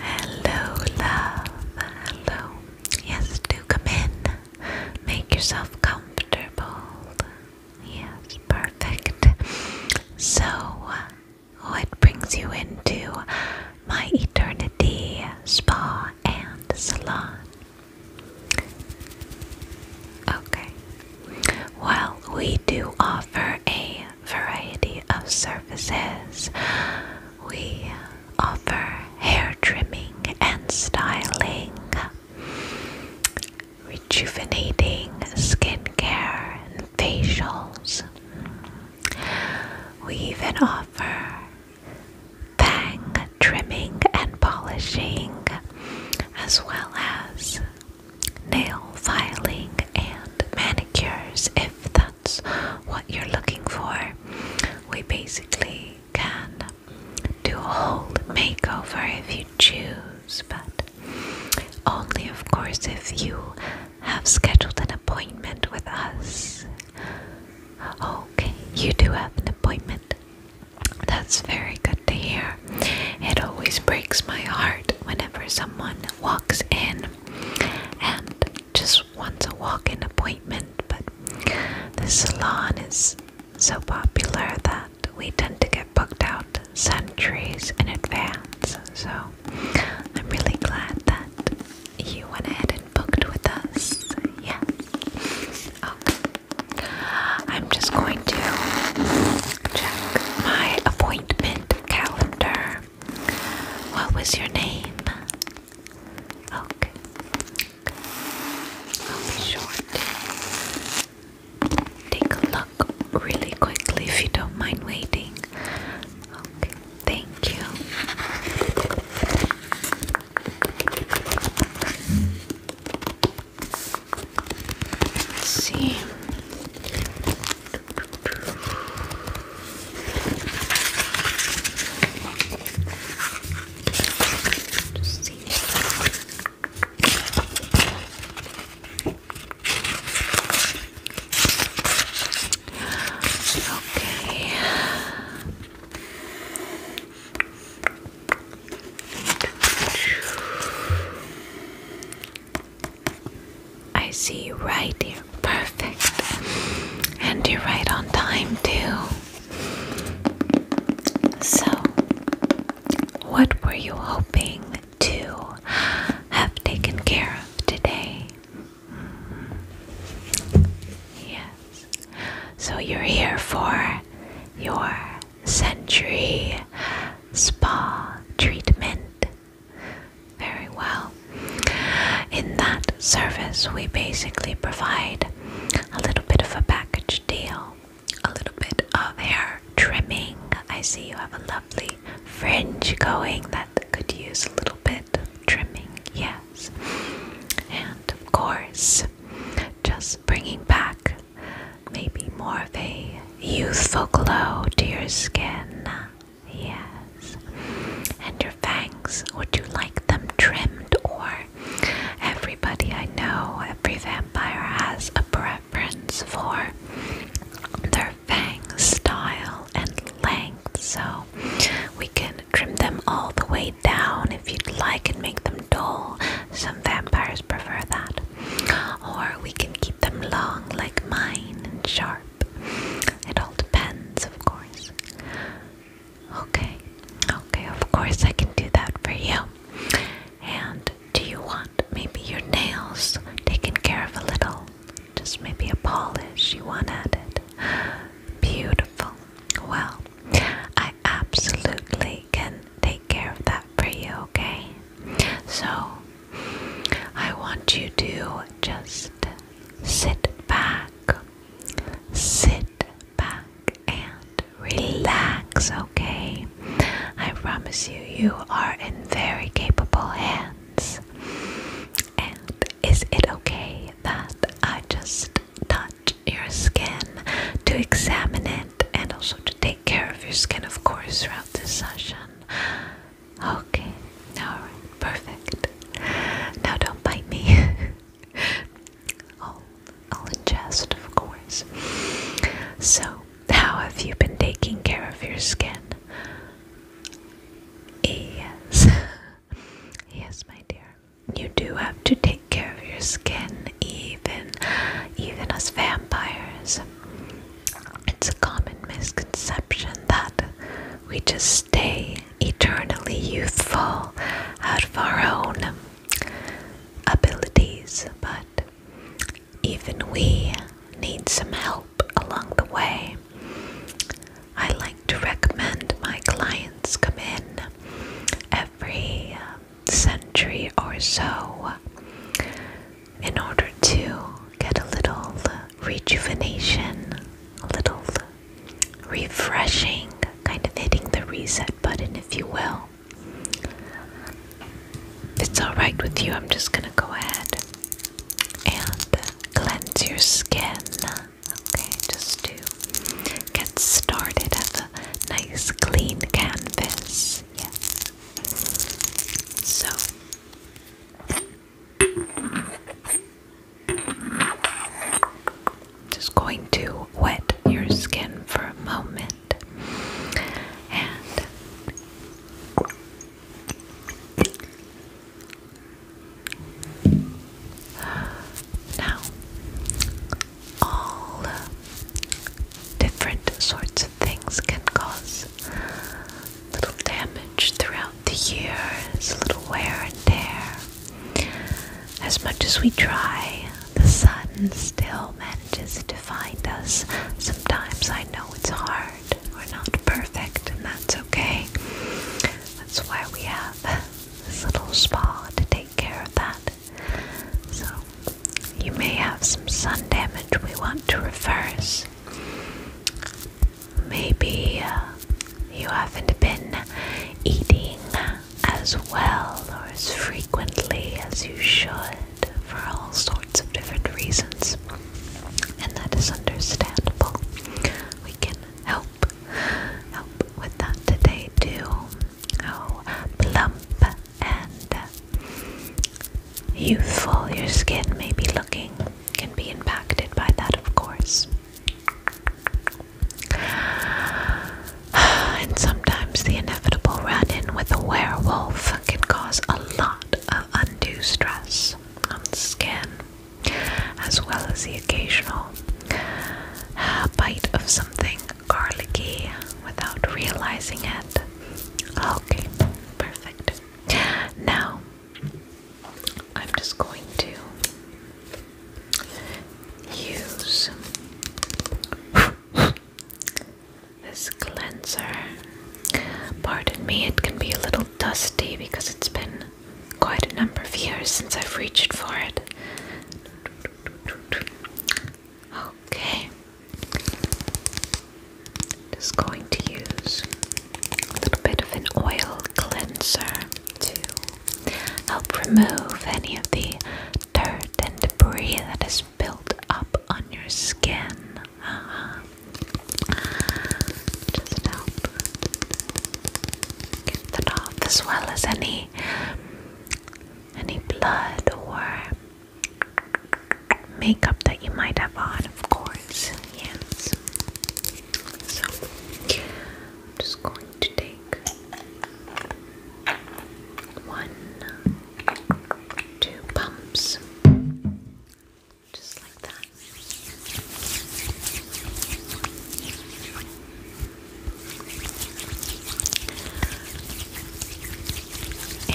Hello, love. Hello. Yes, do come in. Make yourself comfortable. Yes, perfect. So, what brings you into my eternity spa and salon? Okay. Well, we do offer a variety of services. We offer hair trimming and styling, rejuvenating skincare and facials. We even offer bang trimming and polishing, as well as nail filing and manicures if that's what you're looking for. We basically can do a whole makeover if you choose, but only, of course, if you have scheduled an appointment with us. Okay, you do have an appointment. That's very good to hear. It always breaks my heart whenever someone walks in and just wants a walk in appointment, but the salon is so popular that we tend to get booked out centuries in advance. So I'm really glad that you went ahead and booked with us. Yeah. Okay. I'm just going to check my appointment calendar. What was your name? Okay. I'll be short. Take a look really quickly if you don't mind waiting. Okay, thank you. Let's see. Just see. Okay. I see you right here. Perfect. And you're right on time, too. So, what were you hoping to have taken care of today? Yes. So, you're here for your century spa treatment. Very well. In that service, we basically provide a little bit of a package deal, a little bit of hair trimming. I see you have a lovely fringe going that could use a little bit of trimming, yes. And of course, just bringing back maybe more of a youthful glow to your skin yes. And your fangs, would you like them trimmed or? Everybody I know, every vampire has a preference for their fang style and length, so we can trim them all the way down if you'd like and make them dull. Some vampires prefer that or we can keep them long like mine and sharp. It all depends, of course. Okay, okay, of course, I can do that for you. And do you want maybe your nails taken care of a little? Just maybe a polish you want added? Beautiful. Well, I absolutely can take care of that for you, okay? So I want you to just sit back, sit back and relax, okay? I promise you, you are in very capable hands. And is it okay that I just touch your skin to examine it and also to take care of your skin, of course, throughout this session? Okay, alright, perfect. Now don't bite me. I'll, I'll ingest, of course. So, how have you been taking care of your skin? Yes. yes, my dear. You do have to take care of your skin, even even as vampires. It's a common misconception that we just stay eternally youthful out of our own abilities, but even we need some help along the way. I like to recommend my clients come in every century or so in order to get a little rejuvenation, a little refreshing, kind of hitting the reset button, if you will. If it's alright with you, I'm just gonna go ahead and cleanse your skin. Okay, just to get started as a nice clean canvas. Yes. So just going to wet your skin for a moment and now all different sorts of things can cause little damage throughout the years, little wear and tear. As much as we try, the sun still manages to find us. Sometimes I know it's hard, we're not perfect, and that's okay. That's why we have this little spa to take care of that. So, you may have some sun damage we want to reverse. Maybe uh, you haven't been eating as well or as frequently as you should for all sorts of different reasons, and that is understandable. We can help help with that today too. Oh, plump and youthful your skin may be looking can be impacted by that, of course. And sometimes the inevitable run in with a werewolf can cause a lot of undue stress on skin, as well as the occasional uh, bite of something garlicky without realizing it. Okay, perfect. Now, I'm just going to use this cleanser. Pardon me, it can be a little dusty because it's been quite a number of years since I've reached for it. Okay. Just going to use a little bit of an oil cleanser to help remove any of the dirt and debris that is built up on your skin. Uh-huh. Just help get that off, as well as any any blood or makeup that you might have on, of course. Yes. So I'm just going to take one, two pumps, just like that.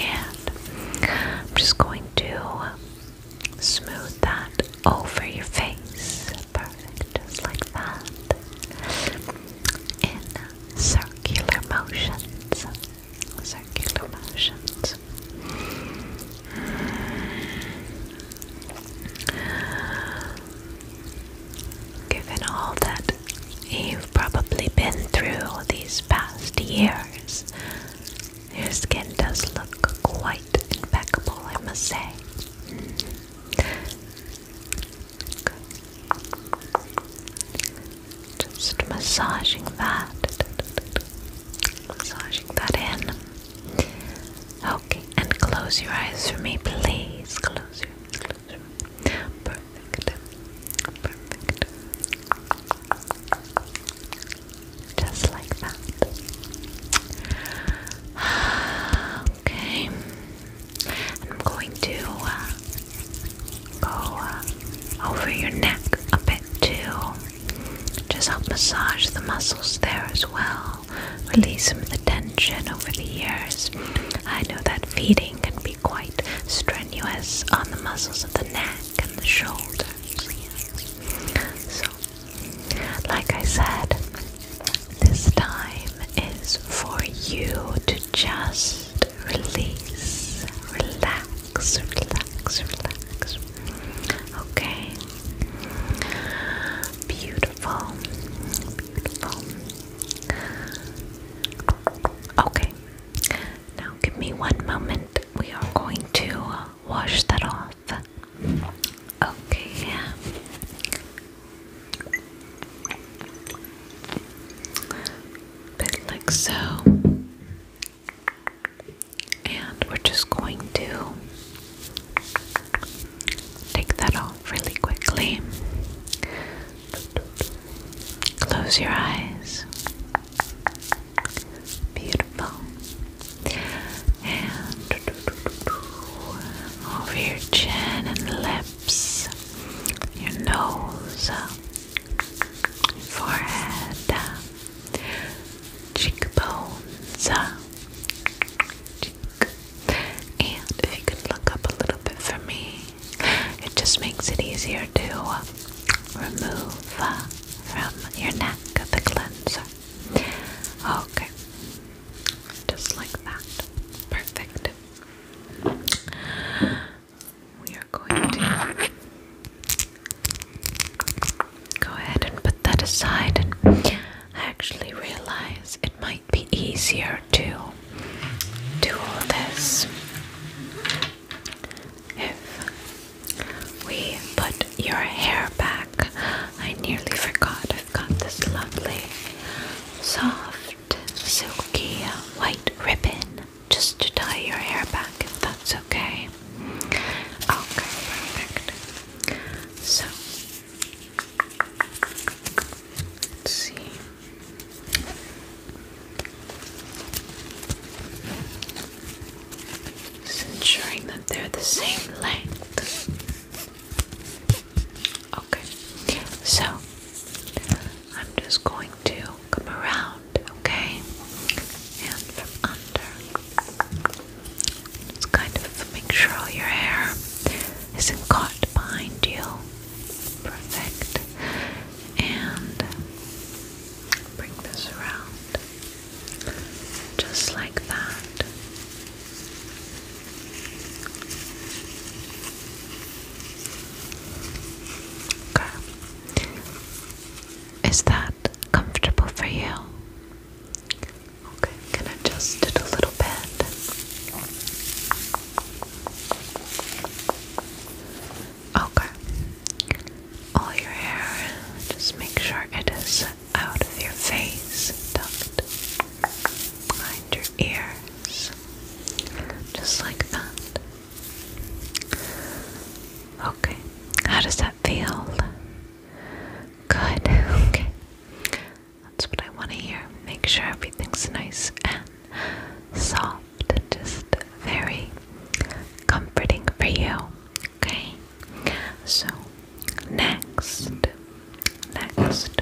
And I'm just going to Smooth that over your face. Perfect, just like that. In circular motions. Circular motions. Given all that you've probably been through these past years, your skin does look quite impeccable, I must say. Just massaging that, massaging that in. Okay, and close your eyes for me, please. Close your eyes, Perfect, perfect. Just like that. Okay. I'm going to uh, go uh, over your neck a bit too. Just help massage the muscles there as well. Release some of the tension over the years. I know that feeding can be quite strenuous on the muscles of the neck and the shoulders. So like I said, this time is for you to just release, relax, relax, relax. Okay? beautiful. Okay, now give me one moment. We are going to uh, wash that off. Okay. Bit like so. And we're just going to take that off really quickly. Close your eyes. Beautiful. over your chin and lips, your nose, forehead, cheekbones, And if you could look up a little bit for me, it just makes it easier to remove from your neck the cleanser. Okay, just like that. Perfect. We are going to go ahead and put that aside. I actually realize it might be easier to do all this if we put your hair back. I nearly forgot. I've got this lovely, soft, silky white ribbon just to tie your hair back, if that's okay. Okay, perfect. So, let's see. Just ensuring that they're the same length. Okay, so I'm just going to come around, okay? And from under. Just kind of make sure your hair isn't caught behind you. Perfect. And bring this around. Just like that. Okay. Is that comfortable for you? Okay, i adjust it a little bit. Okay. All your hair, just make sure it is out of your face, tucked behind your ears, just like that. Okay, how does that feel? Good, okay. That's what I want to hear. Make sure everything's nice and soft, just very comforting for you. Okay, so next, next,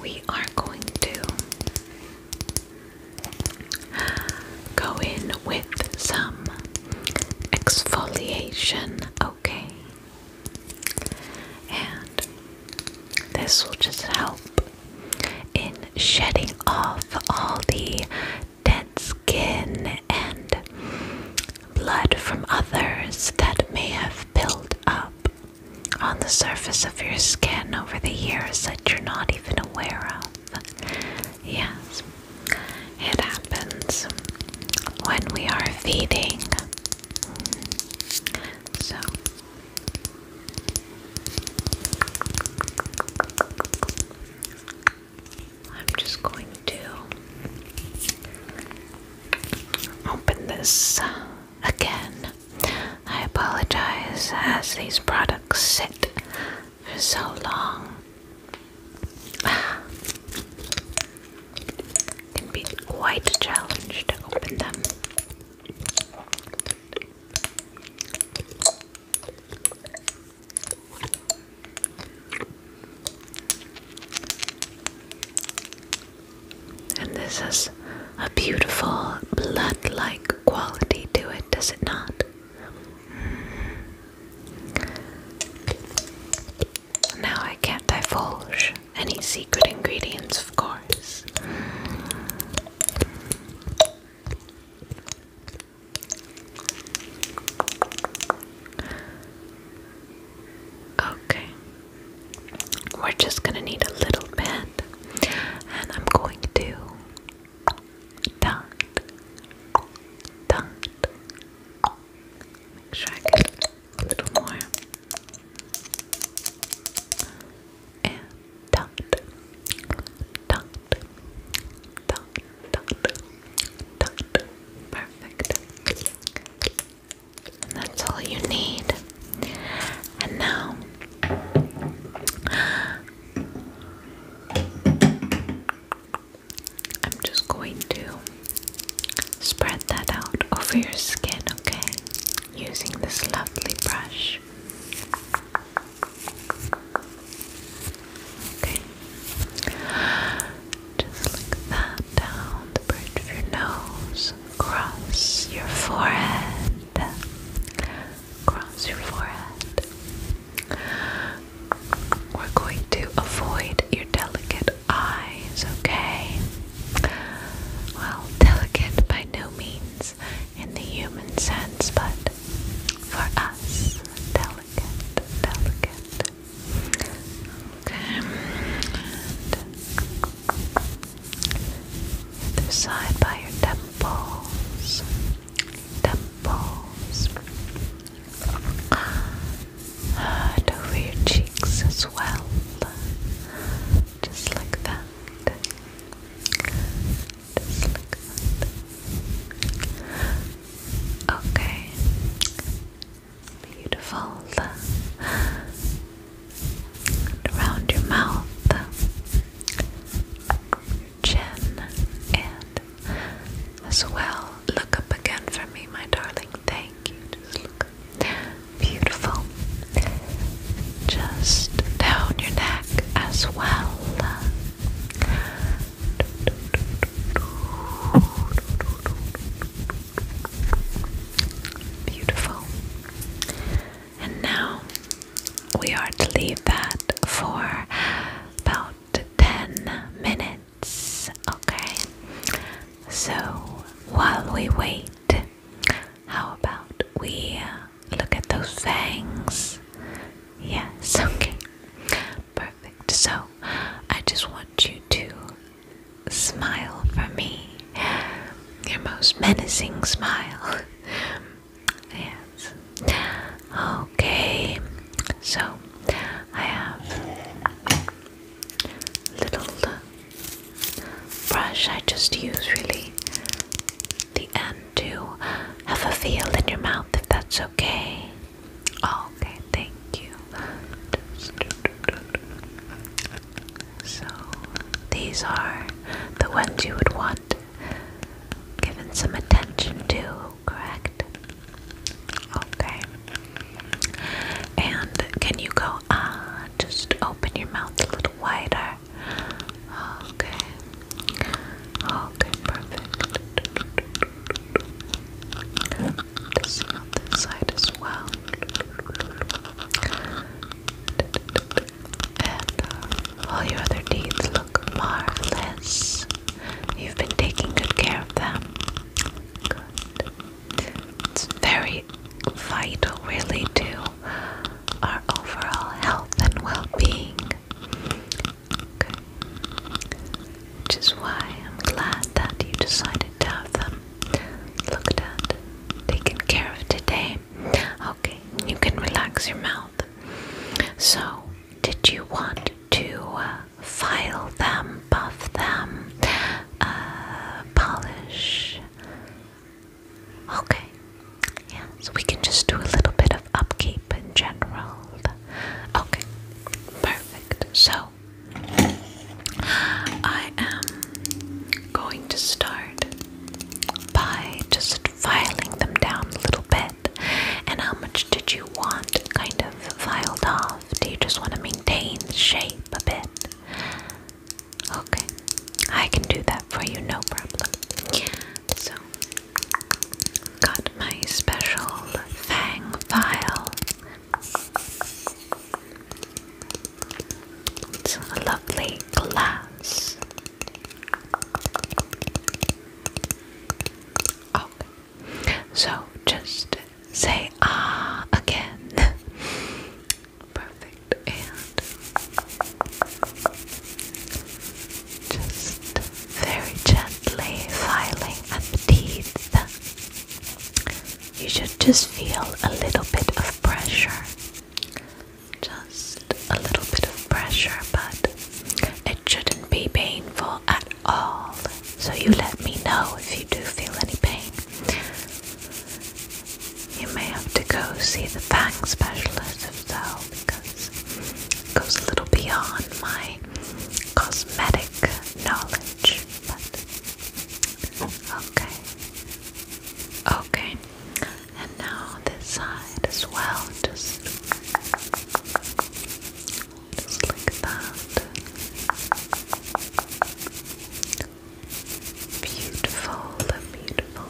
we are going to go in with some exfoliation, okay? And this will just help in shedding off all the dead skin and blood from others that may have built up on the surface of your skin over the years that you're not even aware of. Yes, it happens when we are feeding. So. I'm just going to open this again. I apologize as these products sit for so long. can be quite a challenge to open them. And this has a beautiful blood like quality to it, does it not? Mm. Now I can't divulge any secret ingredients, of course. Okay, we're just gonna need a little bit, and I'm going to dot, dot. Make sure I get a little more. And dot, dot, dot, Perfect. that's all you need. And now I'm just going to spread that out over your skin, okay? Using this lovely brush. Okay. Just like that, down the bridge of your nose, across your forehead, across your forehead. We're going to avoid your delicate eyes, okay? Well, delicate by no means in the human sense, but for us, delicate, delicate, Okay. And the side by your temples. Temples. And over your cheeks as well. Just like that. Okay. Beautiful. around your mouth, chin, and as well, look up again for me, my darling. Thank you. Just look Beautiful. Just down your neck as well. Beautiful. And now we are to leave that for about 10 minutes, okay? So while we wait, how about we uh, look at those fangs? Yes, okay. Perfect. So I just want you to smile for me. Your most menacing smile. yes. Okay. So I have little uh, brush I just use really the end to have a feel in your mouth if that's okay okay, thank you. So, these are the ones you would want given some attention to, correct? Okay. And can you go, ah, just open your mouth a little wider? Okay. Okay, perfect this side as well. And uh, all your other teeth look marvelous. You've been taking good care of them. It's very vital, really, to our overall health and well being which is why I'm glad that you decided to have them looked at, taken care of today. Okay, you can relax your mouth. So, did you want to uh, file them, buff them, uh, polish? Okay, yeah, so we can just do a little bit of upkeep in general. Okay, perfect. So, I am going to start by just filing them down a little bit. And how much did you want kind of filed off? Do you just want to maintain shape a bit? Okay, I can do that for you, no problem. So, got my special fang file. It's a lovely glass. Okay, so just say ah again. Perfect, and just very gently filing at the teeth you should just feel a little bit of pressure. Just a little bit of pressure, but it shouldn't be painful at all. So you let me know if you do feel any pain. You may have to go see the fang specialist if because it goes a little beyond my cosmetic knowledge. But Okay. Okay. And now this side as well. Just, like that. Beautiful, beautiful.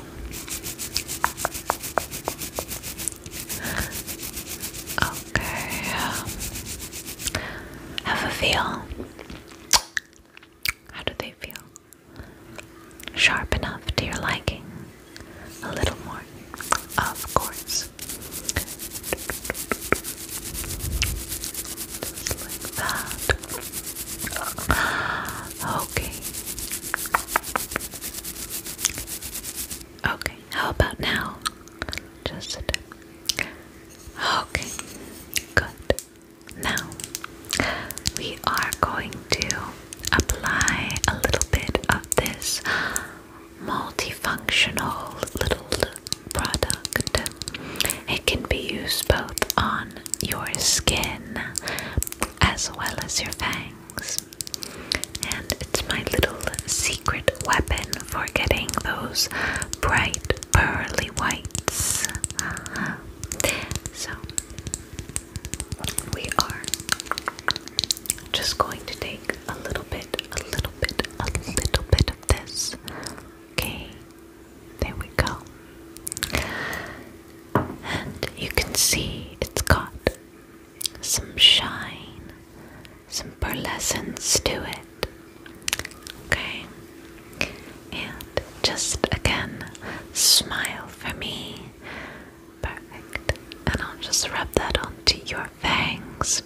Okay. Um, have a feel. How do they feel? Sharp enough to your liking? A little more? Of course. Okay. Okay, how about now? Just Okay, good. Now we are going to apply a little bit of this multifunctional little product. It can be used both on your skin as well as your fangs. And it's my little secret weapon for getting those bright pearly whites. So we are just going to take a little bit, a little bit, a little bit of this. Okay, there we go. And you can see it's got some shine, some pearlescence to it. Okay. And just again, smile for me. Perfect. And I'll just rub that onto your fangs.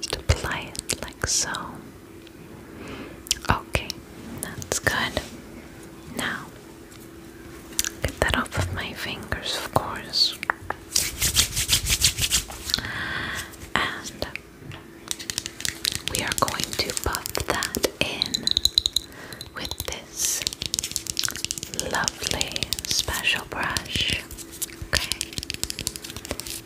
Just apply it like so. Okay, that's good. Now, get that off of my fingers, of course. And we are going to buff that in with this lovely special brush, okay?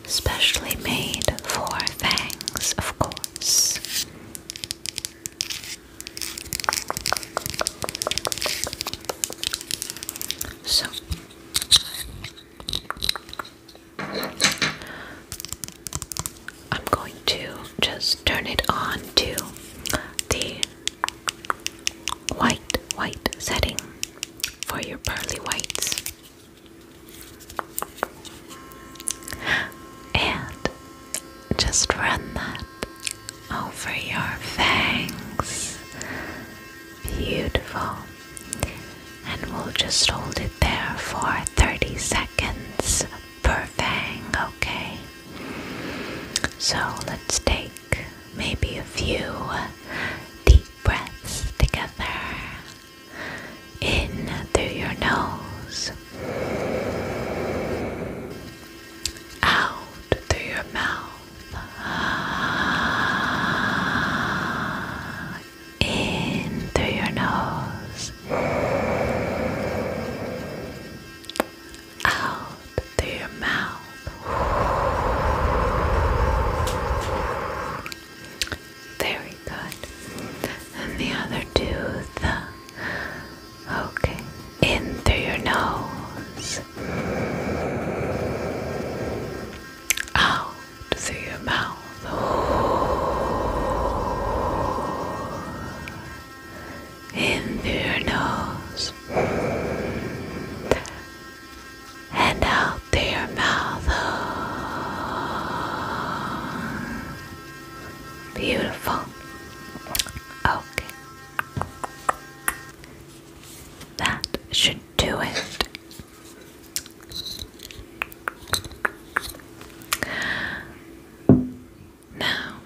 Specially made for fangs, of course. So, I'm going to just turn it on to the white, white setting for your pearly whites. And just run that over your fangs. Beautiful and we'll just hold it there for 30 seconds per fang, okay? So let's take maybe a few deep breaths together in through your nose, out through your mouth in through your nose, out through your mouth. Very good. And the other tooth. Okay. In through your nose. Out out through your mouth. In through your nose. And out through your mouth. Beautiful. Okay. That should do it now,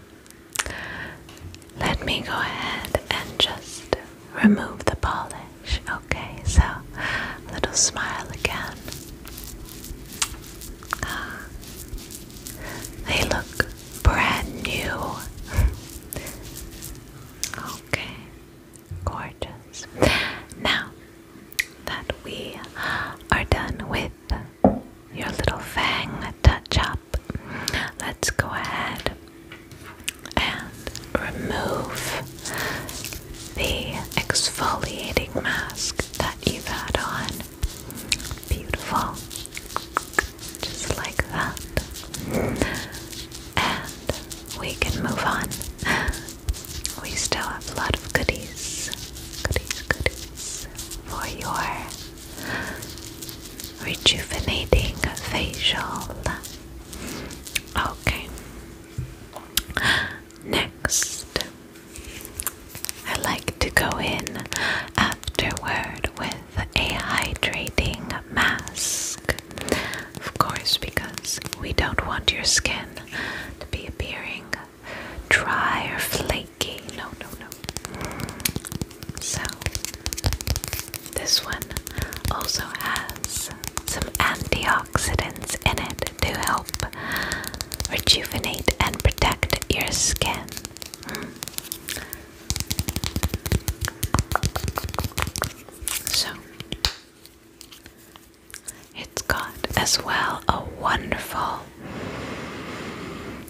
let me go ahead and just remove the polish. Okay, so little smile again. Ah, they look brand new. Okay. Gorgeous. Now that we are done with your little fang touch up, let's go ahead and remove the exfoliating mask that you've had on. Beautiful. Just like that. And we can move on. We still have a lot of goodies, goodies, goodies for your rejuvenating facial. Okay. Next, I like to go in afterward with a hydrating mask. Of course, because we don't want your skin to be appearing dry or flaky. No, no, no. So, this one also has some antioxidants in it to help rejuvenate and protect your skin. So, it's got as well a wonderful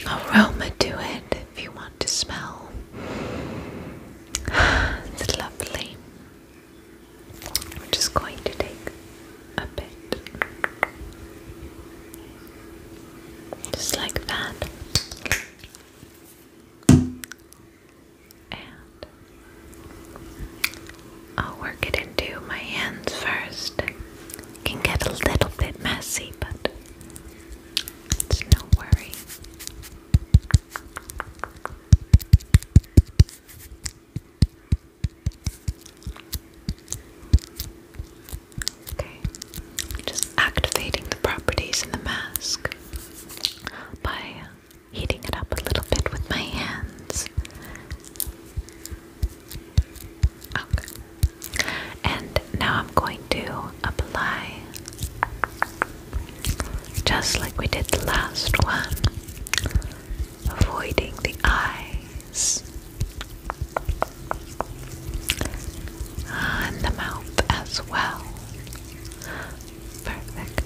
aroma to it if you want to smell. lovely. We're just going to take a bit. Just like that. And I'll work it into my hands first. can get a little bit messy, but it's no worry. Okay, just activating the properties in the mask by heating it up a little bit with my hands. And now I'm going to apply, just like we did the last one, avoiding the eyes and the mouth as well. Perfect.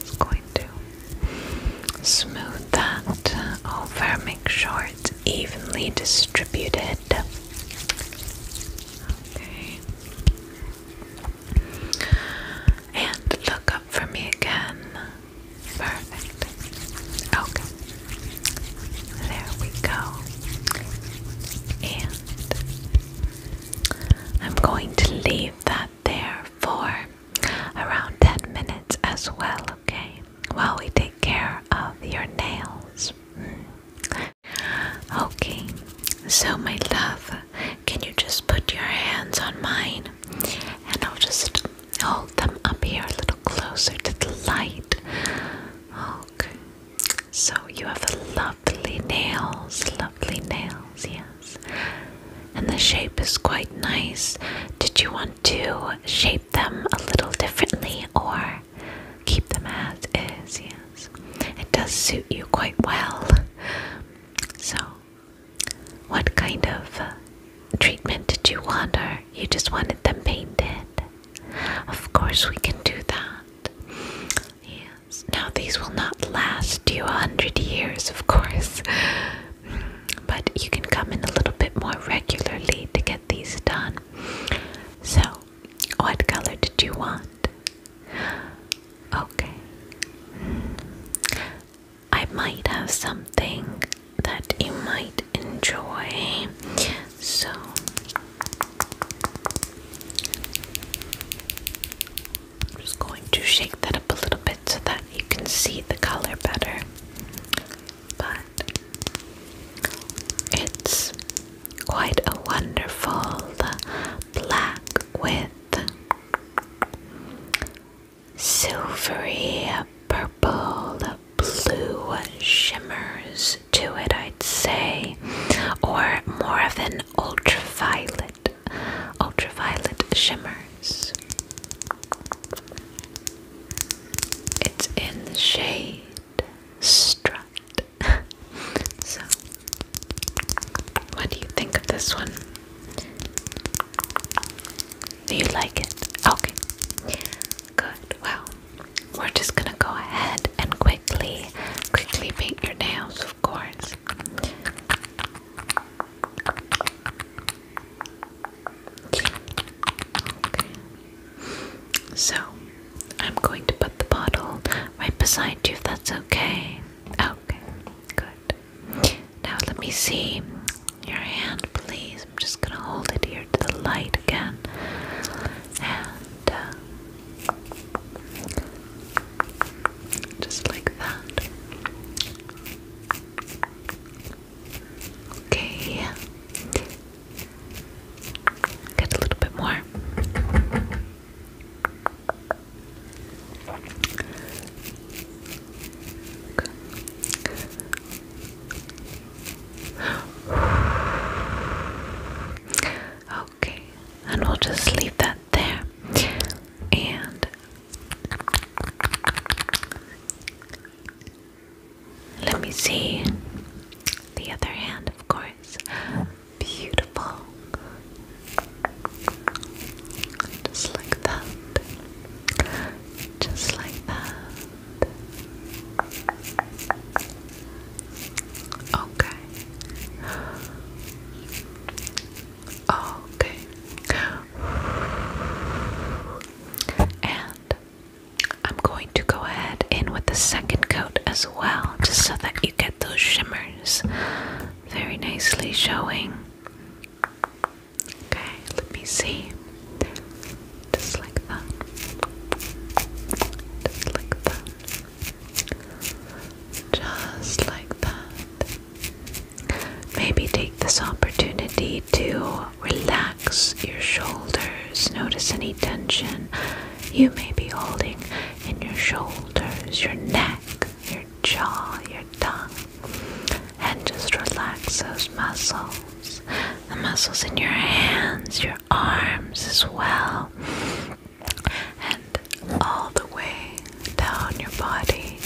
Just going to smooth that over, make sure it's evenly distributed. Okay. And look up for me again. Perfect. Okay. There we go. And I'm going to leave that there for around 10 minutes as well, okay? While we take care of your nails. Mm. Okay, so my love, can you just put your hands on mine and I'll just hold them up here a little closer to the light? Okay, so you have lovely nails, lovely nails, yeah. And the shape is quite nice. Did you want to shape them a little differently or keep them as is? Yes. It does suit you quite well. So, what kind of uh, treatment did you want or you just wanted them painted? Of course, we can do that. Yes. Now, these will not last do a hundred years, of course. But you can come in a little bit more regularly to get these done. So, what color did you want? Okay. I might have something that you might enjoy. So, I'm just going to shake that up a little bit so that you can see the color better. But it's quite a wonderful black with silvery purple blue shimmers to it, I'd say, or more of an ultraviolet ultraviolet shimmers. It's in the shade Strut. so, what do you think of this one? Do you like it? Okay. Good. Well, we're just gonna go ahead and quickly, quickly paint your nails, of course. So, I'm going to put the bottle right beside you if that's okay. Okay, good. Now, let me see your hand, please. I'm just gonna hold it here to the light again. And uh, just like that. Okay. Get a little bit more. Okay. And we'll just leave that there. And let me see the other hand, of course. Beautiful. Just like that. Just like that. Okay. Okay. And I'm going to go ahead in with the second coat as well, just so that you get those shimmers very nicely showing. Okay, let me see. Just like that. Just like that. Just like that. Maybe take this opportunity to relax your shoulders. Notice any tension you may be holding in your shoulders, your neck, your jaw, your tongue. And just relax those muscles. The muscles in your hands, your arms as well. And all the way down your body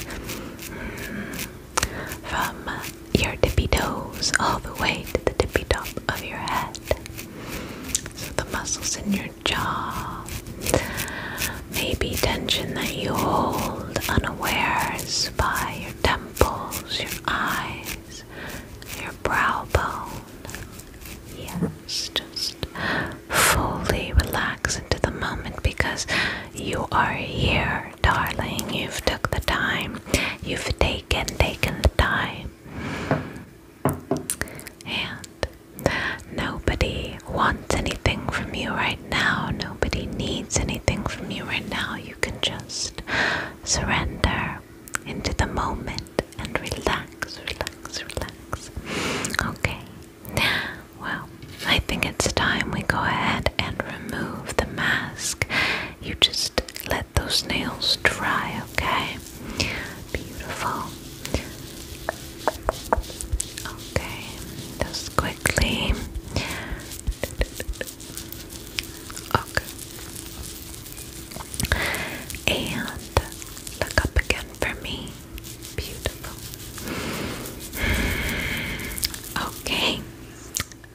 from your tippy toes all the way to the tippy top of your head. So the muscles in your jaw, maybe tension that you hold unaware, by your temples, your eyes, your brow bone. Yes, just fully relax into the moment because you are here, darling. You've took the time. You've taken, taken the time. And nobody wants anything from you right now. Nobody needs anything from you right now. You can just surrender into the moment and relax, relax, relax. Okay, well, I think it's time we go ahead and remove the mask. You just let those nails dry, okay? Beautiful. Okay, just quickly. Okay. And look up again for me. Beautiful. Okay.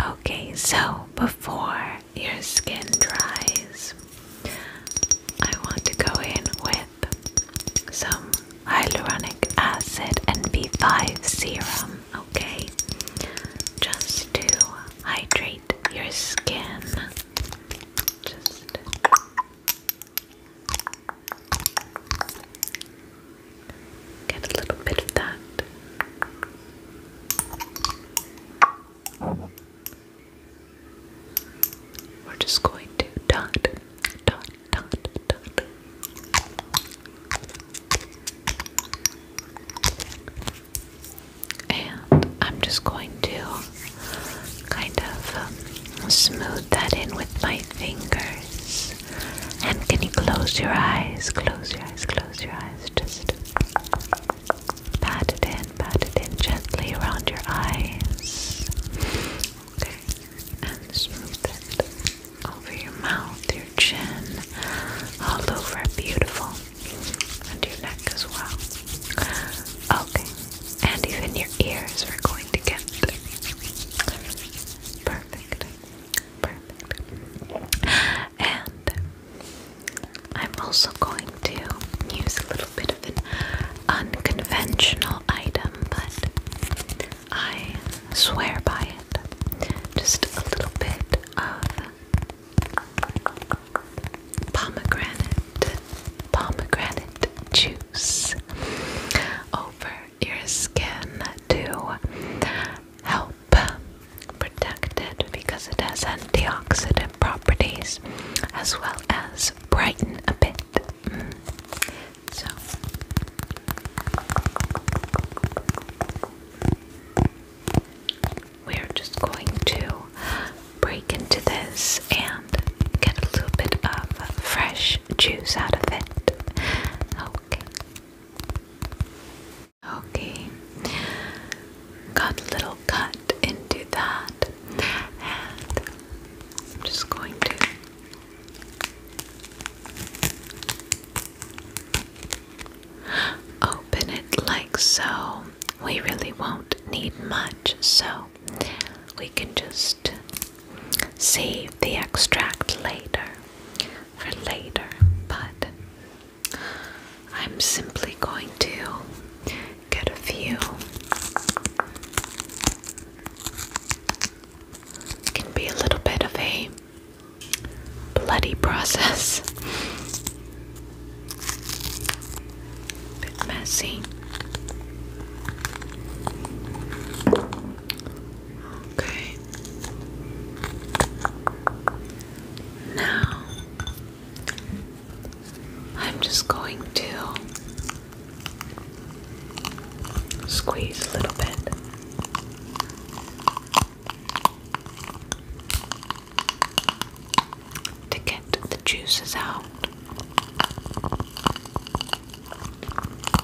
Okay, so before your skin dries, I want to go in with some hyaluronic acid and 5 serum, okay? Just to hydrate your skin. Just Get a little bit of that. We're just going to dot, dot, dot, dot. And I'm just going to kind of um, smooth that in with my fingers. And can you close your eyes? Close your eyes, close your eyes. Just pat it in, pat it in gently around your eyes. Okay. And smooth it over your mouth, your chin, all over. Beautiful. And your neck as well. Okay. And even your ears, are going to get perfect. Perfect. And I'm also going to use a little bit of an unconventional item, but I swear by it. Just a little bit of pomegranate pomegranate juice over your skin to help protect it because it has antioxidant properties as well as brighten a bit. Mm. So. We're just going to break into this and get a little bit of fresh juice out of it. Okay. Okay, got a little cut into that, and I'm just going to open it like so. We really won't need much, so we can just save the extract later for later, but I'm simply going to get a few. can be a little bit of a bloody process. Bit messy. Okay. Now I'm just going to squeeze a little bit. To get the juices out.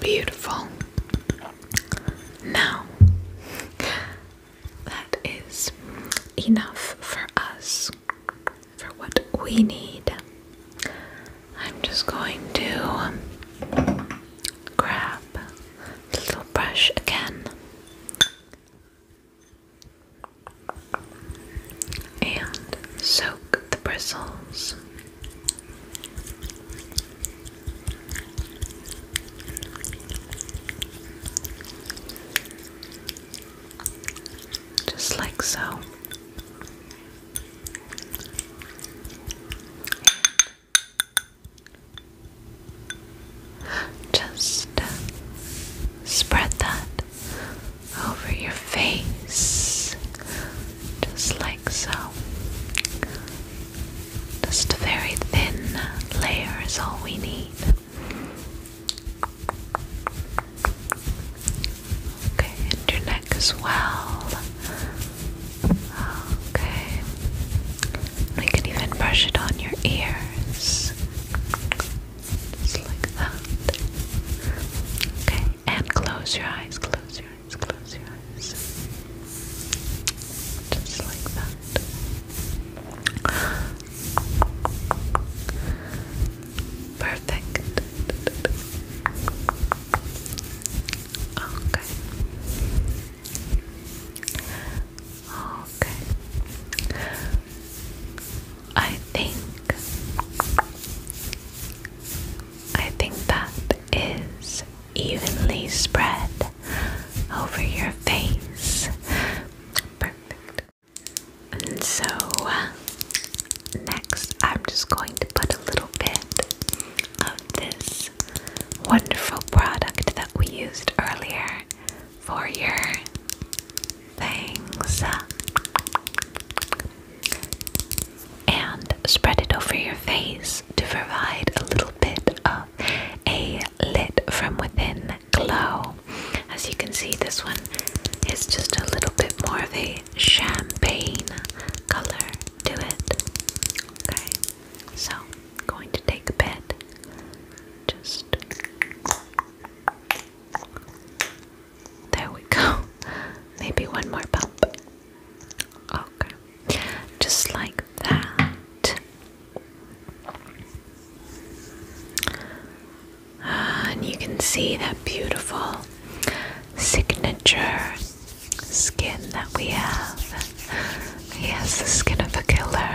Beautiful. Now, that is enough for us, for what we need. I'm just going to grab the little brush again and soak the bristles. Just like so. Just uh, spread that over your face, just like so. Just a very thin layer is all we need. Okay, and your neck as well. Okay. We can even brush it on your ears. Just like that. Okay, and close your eyes, close your eyes eyes, close your eyes. Just like that. Perfect. Okay. Okay. I think I think that is evenly spread over your face. Perfect. And so, next, I'm just going to put a little bit of this wonderful product that we used earlier for your things and spread it over your face to provide a little bit of a lit from within glow. As you can see, this one is just a little bit more of a champagne color to it. Okay, so I'm going to take a bit, just there we go. Maybe one more pump. Okay, just like that. and you can see that beautiful signature skin that we have. He has the skin of a killer.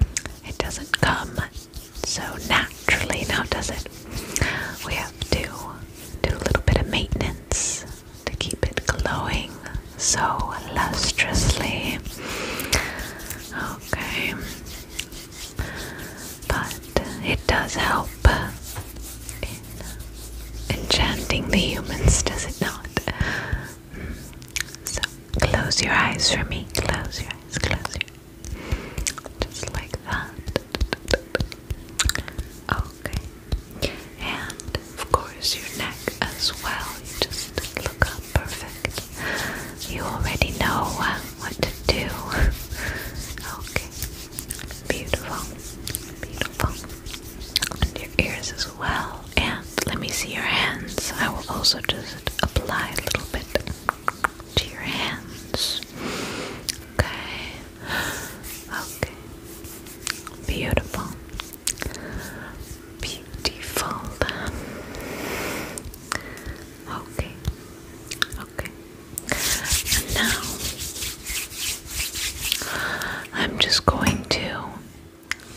it doesn't come so naturally now, does it? We have to do a little bit of maintenance to keep it glowing so lustrously, Okay. But it does help in enchanting the humans, does it not? So close your eyes for me. Close your eyes, close your eyes. Just like that. Okay. And of course your neck as well. You just look perfect. You already know uh, what to do. okay. Beautiful. Beautiful. And your ears as well. And let me see your hands. I will also just apply a little bit to your hands. Okay. Okay. Beautiful. Beautiful. Okay. Okay. now I'm just going to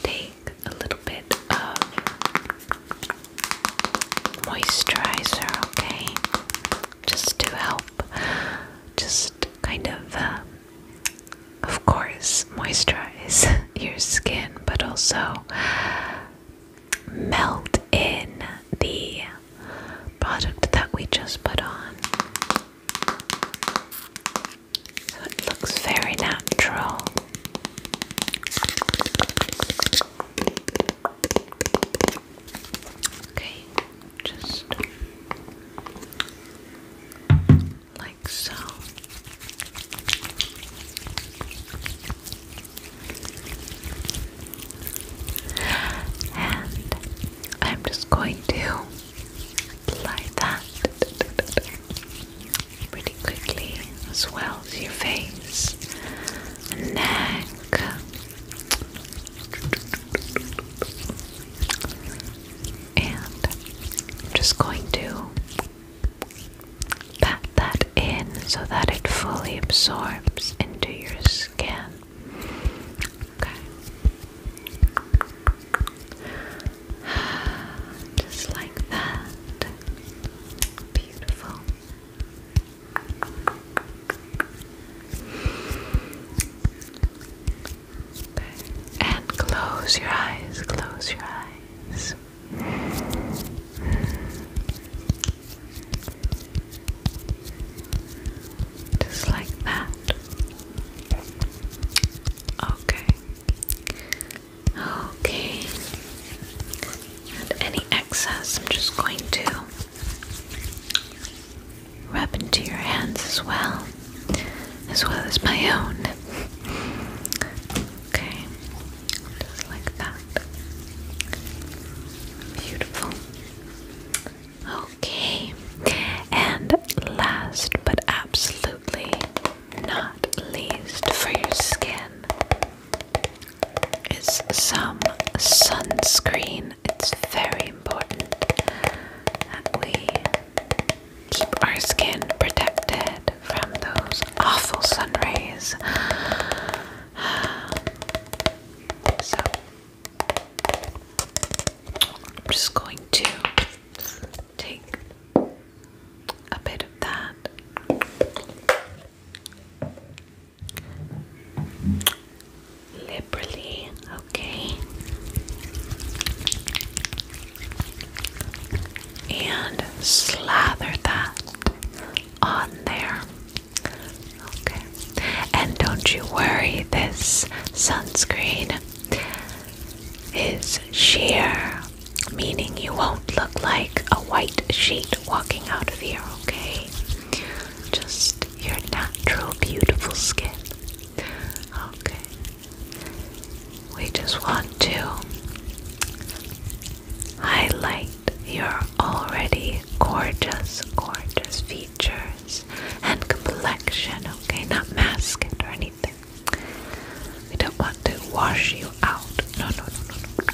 take a little bit of moisturizer, okay? Just to help just kind of, uh, of course, moisturize your skin, but also melt in the product that we just put on. So it looks very natural. Okay, just like so. And I'm just going to apply that pretty quickly as well to your face, neck, and I'm just going to pat that in so that it fully absorbs into your skin. Okay. Just like that. Beautiful. And close your eyes, close your eyes. Just like that. Okay. Okay. And any excess, I'm just going to Rub into your hands as well, as well as my own. Okay, just like that. Beautiful. Okay, and last but absolutely not least for your skin is some sunscreen. It's very important we keep our skin protected from those awful sun rays. So, I'm just going to take a bit of that liberally, okay? And slather that on there. Okay. And don't you worry, this sunscreen is sheer, meaning you won't look like a white sheet walking out of here, okay? Just your natural, beautiful skin. Okay. We just want to highlight your already gorgeous, gorgeous features and complexion, okay? Not mask it or anything. We don't want to wash you out. No, no, no, no, no.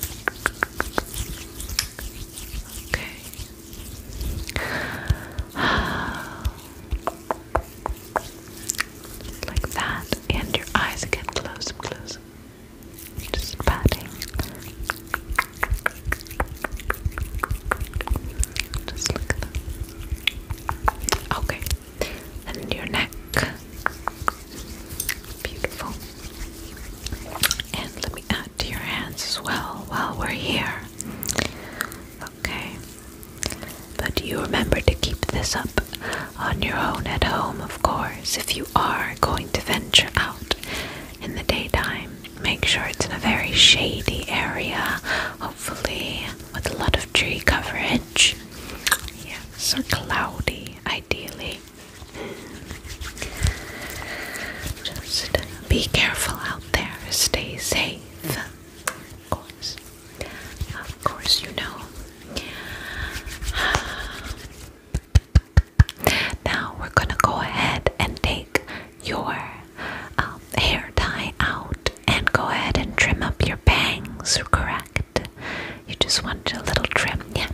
Okay. like that. And your eyes again. Close, close. Just patting. Just look at them. Okay. And your neck. Beautiful. And let me add to your hands as well while we're here. Okay. But you remember to keep this up on your own at home, of course. If you are going to venture out in the daytime, make sure it's in a very shady area, hopefully with a lot of tree coverage. Yes, or cloudy, ideally. Just be careful out there, stay safe. Of course. Of course, you know. Now we're gonna go ahead and take your um, hair tie out and go ahead and trim up your bangs, correct? You just wanted a little trim, yeah.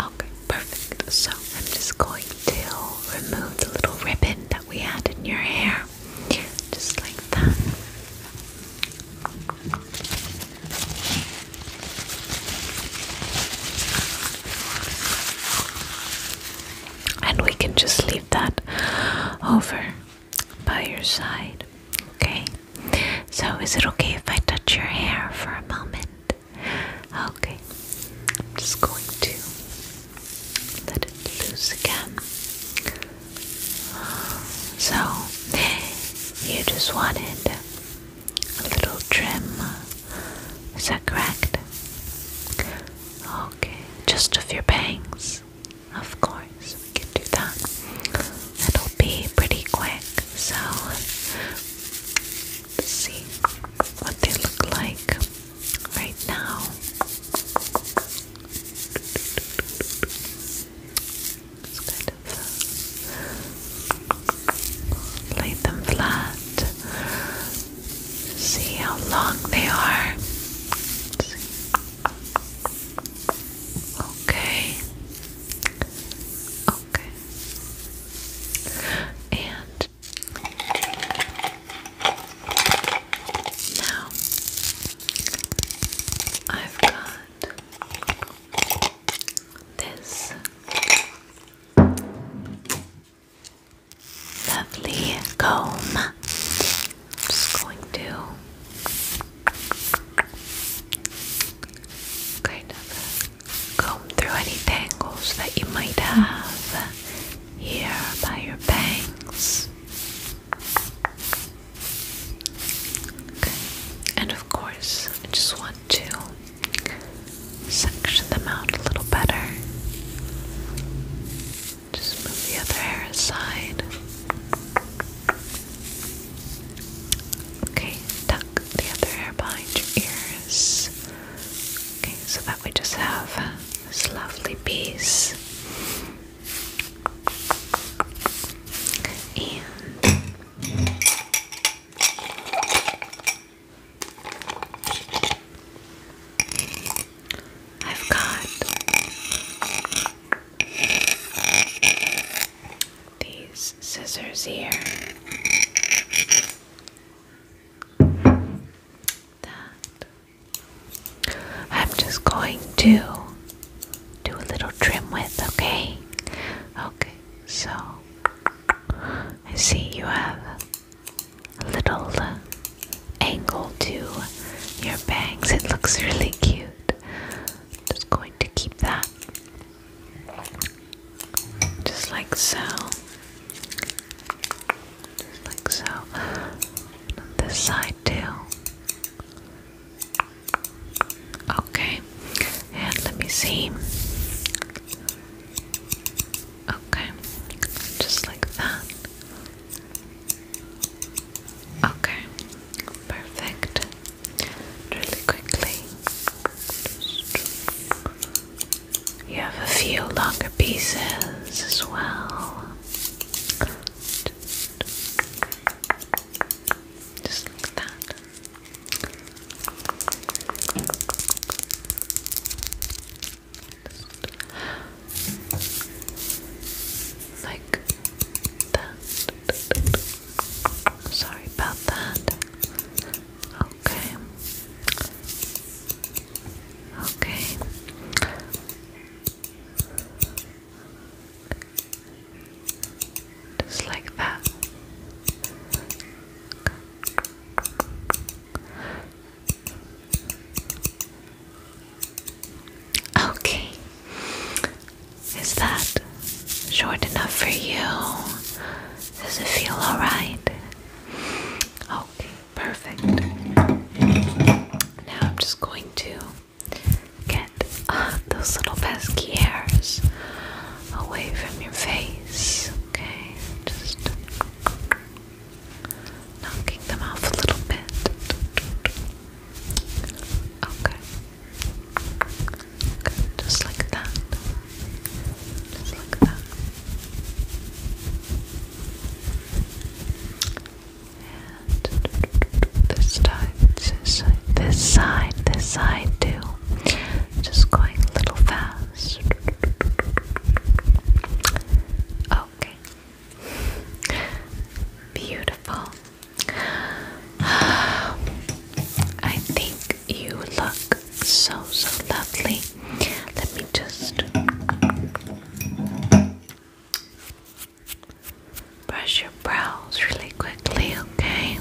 Okay, perfect. So I'm just going to remove the little ribbon that we had in your hair just like that. And we can just leave that over by your side, okay? So, is it okay if I touch your hair for a moment? Okay, I'm just going to let it loose again. So, you just wanted a little trim. Is that correct? Okay, just of your bangs. Of course, we can do that. It'll be pretty quick, so let's see what they look like right now. Uh, lay them flat. See how long they are. Okay. Okay. And now, I've got this lovely comb. I'm just going to kind of comb through any tangles that you might have here by your bangs. And of course, I just want to section them out a little better. Just move the other hair aside. Okay, tuck the other hair behind your ears. Okay, so that we just have this lovely piece I've got these scissors here that I'm just going to do a little trim with, okay? Okay, so I see you have a little uh, angle to your bangs. It looks really cute. just going to keep that just like so. Just like so. this side too. Okay, and let me see. Okay, just like that. Okay, perfect. Really quickly. You have a few longer pieces as well. Just like that. like that. Sorry about that. Okay. Okay. Just like that. Okay. Is that short enough for you? Does it feel alright? Okay, perfect. Now I'm just going to Get uh, those little pesky hairs away from your face, okay? Just knocking them off a little bit. okay. Just like that. Just like that this time, this side, this side, this side too. Just going a little fast. Okay. Beautiful. I think you look so, so lovely. Let me just. Brush your brows really quickly, okay?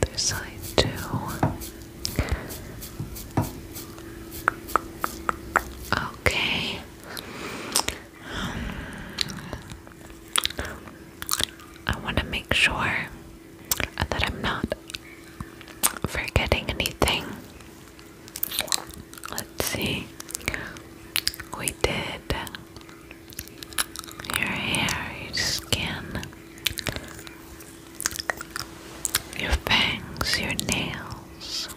The side, too. Okay. I want to make sure that I'm not forgetting anything. Let's see. We did your hair, your skin, your fangs, your nails.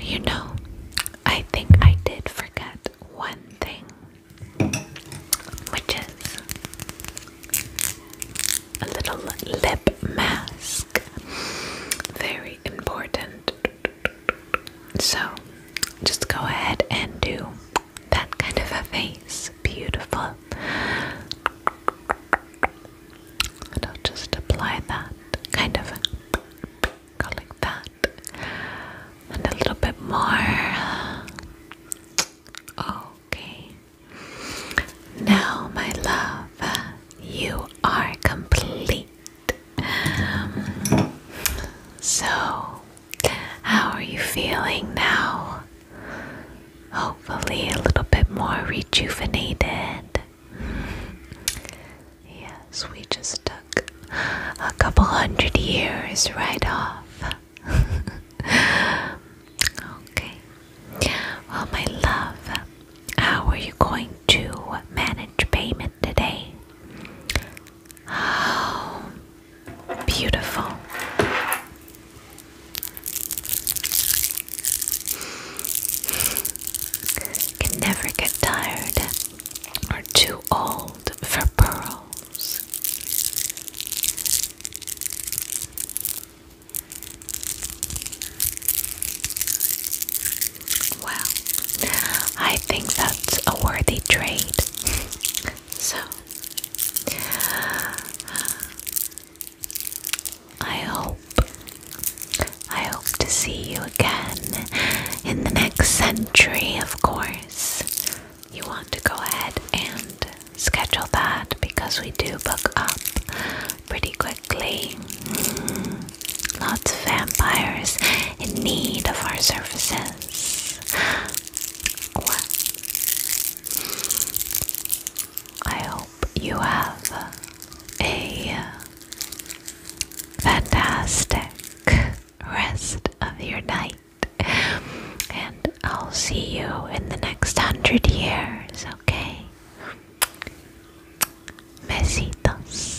You know, I think I did forget one thing, which is a little lip mask. Very important. So, just go ahead and do that kind of a face. Beautiful. I'll just apply that, kind of like that, and a little bit more. Okay. Now, my love, you are complete. Um, so, how are you feeling now? Hopefully, a little bit more rejuvenated. Yes, we just took a couple hundred years right off. okay. Well, my love, how are you going to manage payment today? Oh, beautiful can never get tired or too old for pearls. Well, I think that's a worthy trade. So, I hope I hope to see you again in the next century, of course. You want to go ahead and schedule that because we do book up pretty quickly. lots of vampires in need of our services. I hope you have a fantastic rest of your night. And I'll see you in the next hundred years, okay? Besitos.